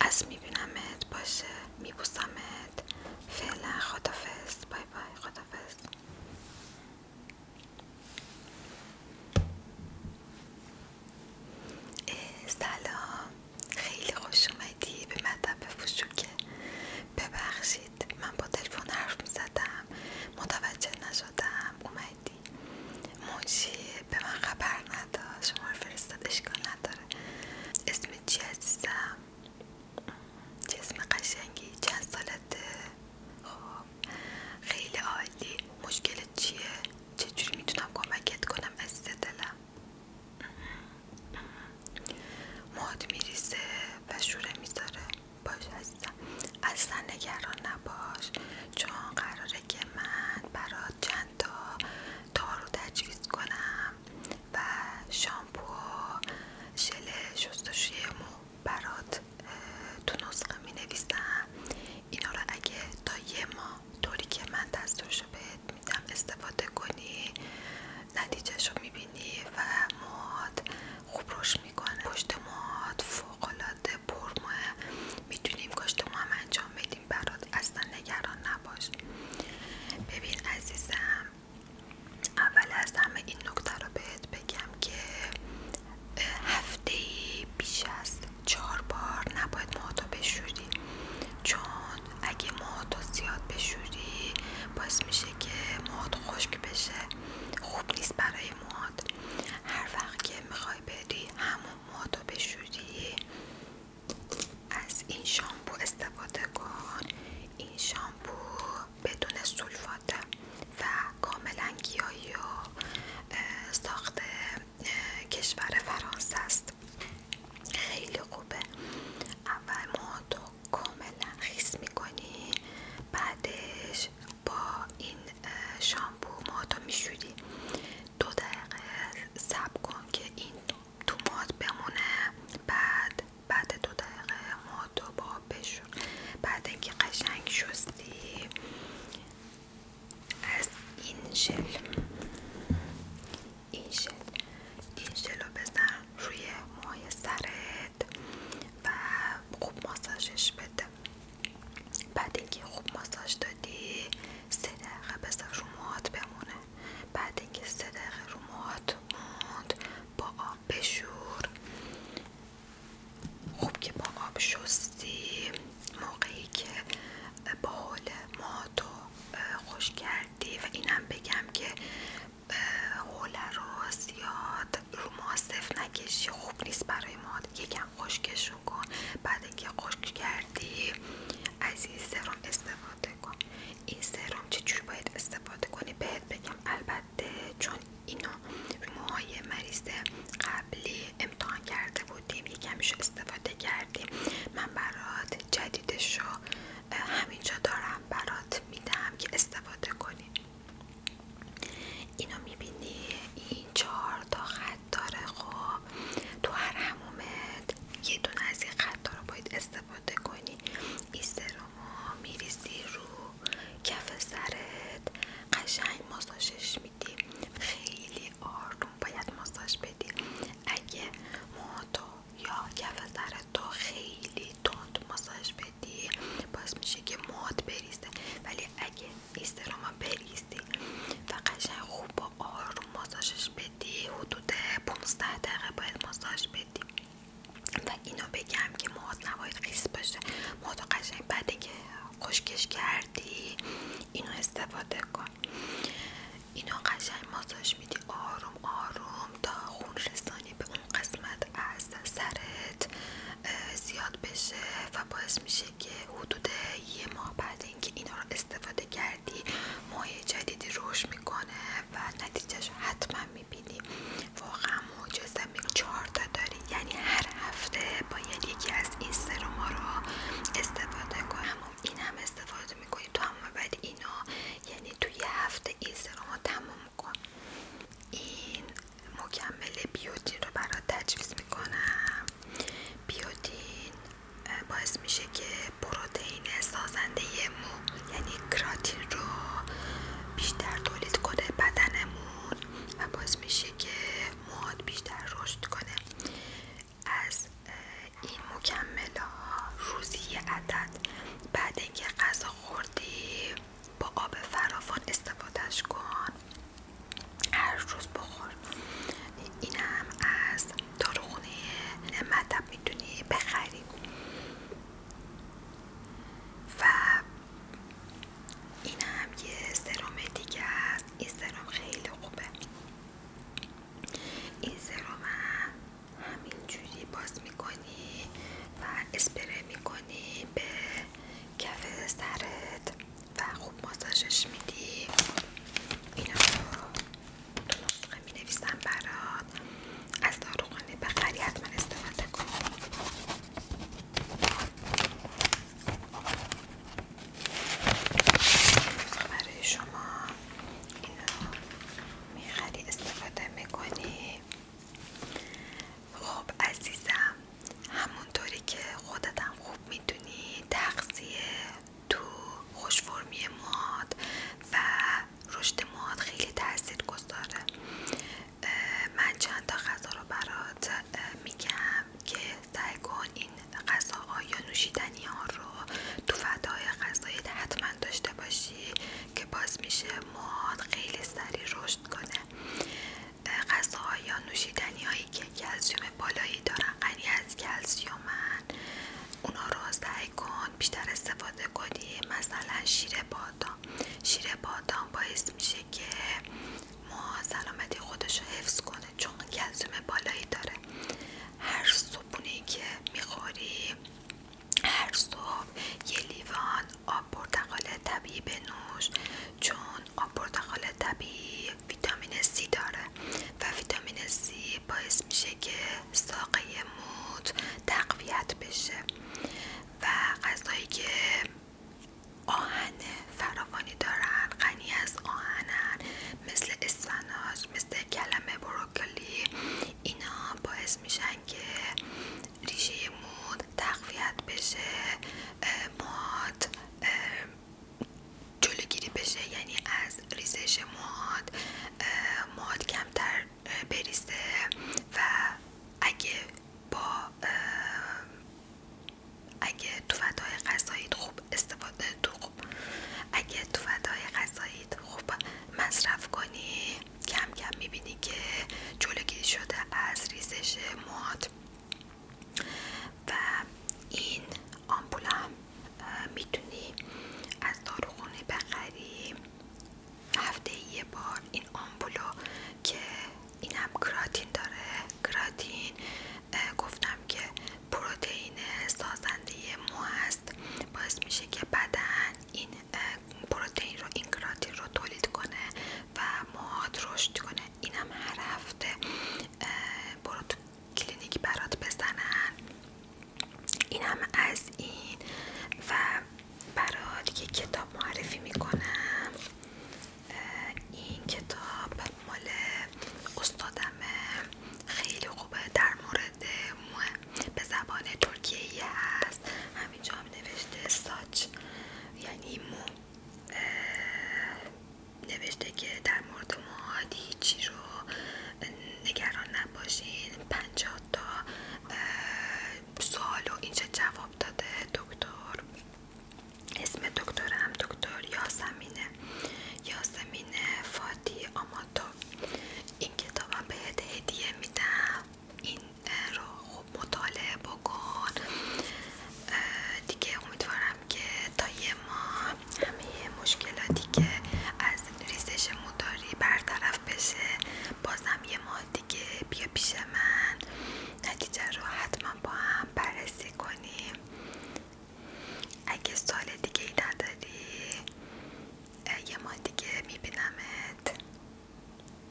از میبینمت باشه میبوسمت فعلا خدافز بای بای خدافز سلام خیلی خوش اومدی به مطب فشوکه ببخشید من با تلفن حرف میزدم متوجه نشدم اومدی منشی به من خبر ندا شما رو فرستاد اشکال نداره اسم چی عزیزم جسم قشنگی چند سالته خب، خیلی عالی مشکل چیه چجوری میتونم کمکت کنم عزیز دلم ماد میریسه و شور میذاره باش عزیزم اصلا نگران نباش چون قراره که من برات چند تا تا رو تجویز کنم و شامپو ژل شستشوی مو برات تو نسخه می نویسم اینا رو اگه تا یه ماه طوری که من دستورشو بهت میدم استفاده کنی نتیجهشو میبینی و موهات خوب روش میکنه پشت موهات فوقالعاده پرموه میتونیم ما هم انجام بدیم برات اصلا نگران نباش ببین عزیزم اول از همه این نکته رو بهت بگم که هفته بیش از چهار بار نباید موهاتو بشوری چون اگه موهاتو زیاد بشوری باعث میشه که موهات خشک بشه خوب نیست برای موهات هر وقت که میخوای بری همون موهاتو بشوری از این شامپو استفاده کن این شامپو بدون سولفاته و کاملا گیاهی و ساخت کشور فرانسه است خیلی خوبه اول ما کاملا خیس میکنی بعدش با این شامپو ما تو دو دقیقه سب کن که این تو ماد بمونه بعد بعد دو دقیقه مادو با بشور بعد اینکه قشنگ شستی از این جل این جل این جلو رو بزن روی مای سرت و خوب ماساژش بده بعد اینکه خوب ماساژ دادی سه دقیقه بذار رو موهات بمونه بعد اینکه سه دقیقه رو موهات موند با آب بشور خوب که با آب شستی موقعی که با حول ماتو خوش کردی و اینم بگم که حول رو زیاد رو موها نکشی خوب نیست برای ماد یکم خشکشون کن بعد اینکه خشک کردی از این سرم استفاده کن این سرم چجوری باید استفاده کنی بهت بگم البته چون اینو موهای مریض قبلی امتحان کرده بودیم یکمیش استفاده کردیم من برات جدیدش رو همینجا دارم برات میدم که استفاده کنی اینو میبینی این چهار تا خب. تو هر یه دونه از این خطا رو باید استفاده کنی این سرما میریزی رو کف سرت قشنگ ماساژش میدی خیلی آروم باید ماساژ بدی اگه موتو یا کف سرت تو خیلی تند ماساژ بدی باز میشه که موت بریزه ولی اگه این سرما بریزی و قشنگ خوب آروم رو ماساژش بدی حدود 15 دقیقه باید ماساژ بدی و اینو بگم که موهات نباید خیس باشه موهات قشنگ بعدی که خشکش کردی اینو استفاده کن اینو قشنگ ماساژ میدی آروم آروم تا خون رسانی به اون قسمت از سرت زیاد بشه و باعث میشه که حدود یه ماه بعد اینکه اینا رو استفاده کردی موی جدیدی رشد میکنه و نتیجهش حتما میبینی واقعا معجزه میگه چهار تا داری یعنی هر هفته باید یکی از این سرما رو استفاده کنم این هم استفاده میکنی تو هم بعد اینا یعنی توی یه هفته این سرما تمام کن این مکمل بیوتین رو برات تجویز میکنم بیودین باعث میشه که پروتئین سازنده مو یعنی کراتین رو بیشتر تولید کنه بدنمون و باعث میشه که مواد بیشتر رشد کنه از این مکمل روزی عدد بعد اینکه غذا خوردی با آب فراوان استفادهش کن هر روز بخور اینم از خونه مطب میتونی بخری و این هم یه سرم دیگه است این سرام خیلی خوبه این سرم همینجوری باز میکنی و اسپره میکنی به کف سرت و خوب ماساژش میدی اینا تو نسخه می نویسم برات از داروخانه بخری من استفاده کن نسخه برای شما اینا میخری استفاده میکنی خوب عزیزم همونطوری که خودتم خوب میدونی تغذیه تو خوشفرمی مواد و رشد مواد خیلی تاثیر گذاره من چند تا غذا رو برات میگم که سعی کن این غذاها یا نوشیدنی ها رو تو فدای غذایت حتما داشته باشی که باز میشه مواد خیلی سریع رشد کنه غذاها یا نوشیدنی هایی که کلسیوم بالایی دارن غنی از کلسیومن من، رو سعی کن بیشتر استفاده کنی مثلا شیر بادام شیر بادام باعث میشه که ما سلامتی خودش رو حفظ کنه چون کلسیوم بالایی داره هر صبحونه که میخوری هر صبح یه لیوان آب پرتقال طبیعی نوش، چون آب پرتقال طبیعی ویتامین C داره و ویتامین C باعث میشه که ساقه مود تقویت بشه و غذایی که آهن فراوانی دارن غنی از آهنن مثل اسفناج مثل کلمه بروکلی اینا باعث میشن که ریشه مود تقویت بشه ماد جلوگیری بشه یعنی از ریزش مواد مواد کمتر بریزه و اگه با اگه تو فدای غذاییت خوب استفاده تو اگه تو فدای غذاییت خوب مصرف کنی کم کم میبینی که جلوگیری شده از ریزش مواد و این آمپول میتونی از داروخونه بخری هفته یه بار این آمپولو که اینم کراتین داره کراتین گفتم که پروتئین سازنده مو هست باعث میشه که بدن این پروتئین رو این کراتین رو تولید کنه و موهات رشد کنه اینم هر هفته برو تو کلینیک برات بزنن اینم از این و برات یه کتاب معرفی میکنم این کتاب مال استادم خیلی خوبه در مورد مو به زبان ترکیه هست همینجا هم نوشته ساچ یعنی مو نوشته که در مورد مواد هیچی رو نگران نباشین پنجاه تا سوال و اینجا جواب داده دکتر اسم دکترم دکتر یاسمینه یاسمینه فاتی آماتو این کتابم بهت هدیه میدم این رو خوب مطالعه بکن دیگه امیدوارم که تا یه ماه همه مشکلاتی که از ریزش مداری برطرف بشه بازم یه ماه دیگه بیا پیش من نتیجه رو حتما با هم بررسی کنیم اگه سال دیگه ای نداری یه ماه دیگه میبینمت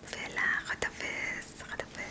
فعلا خدافز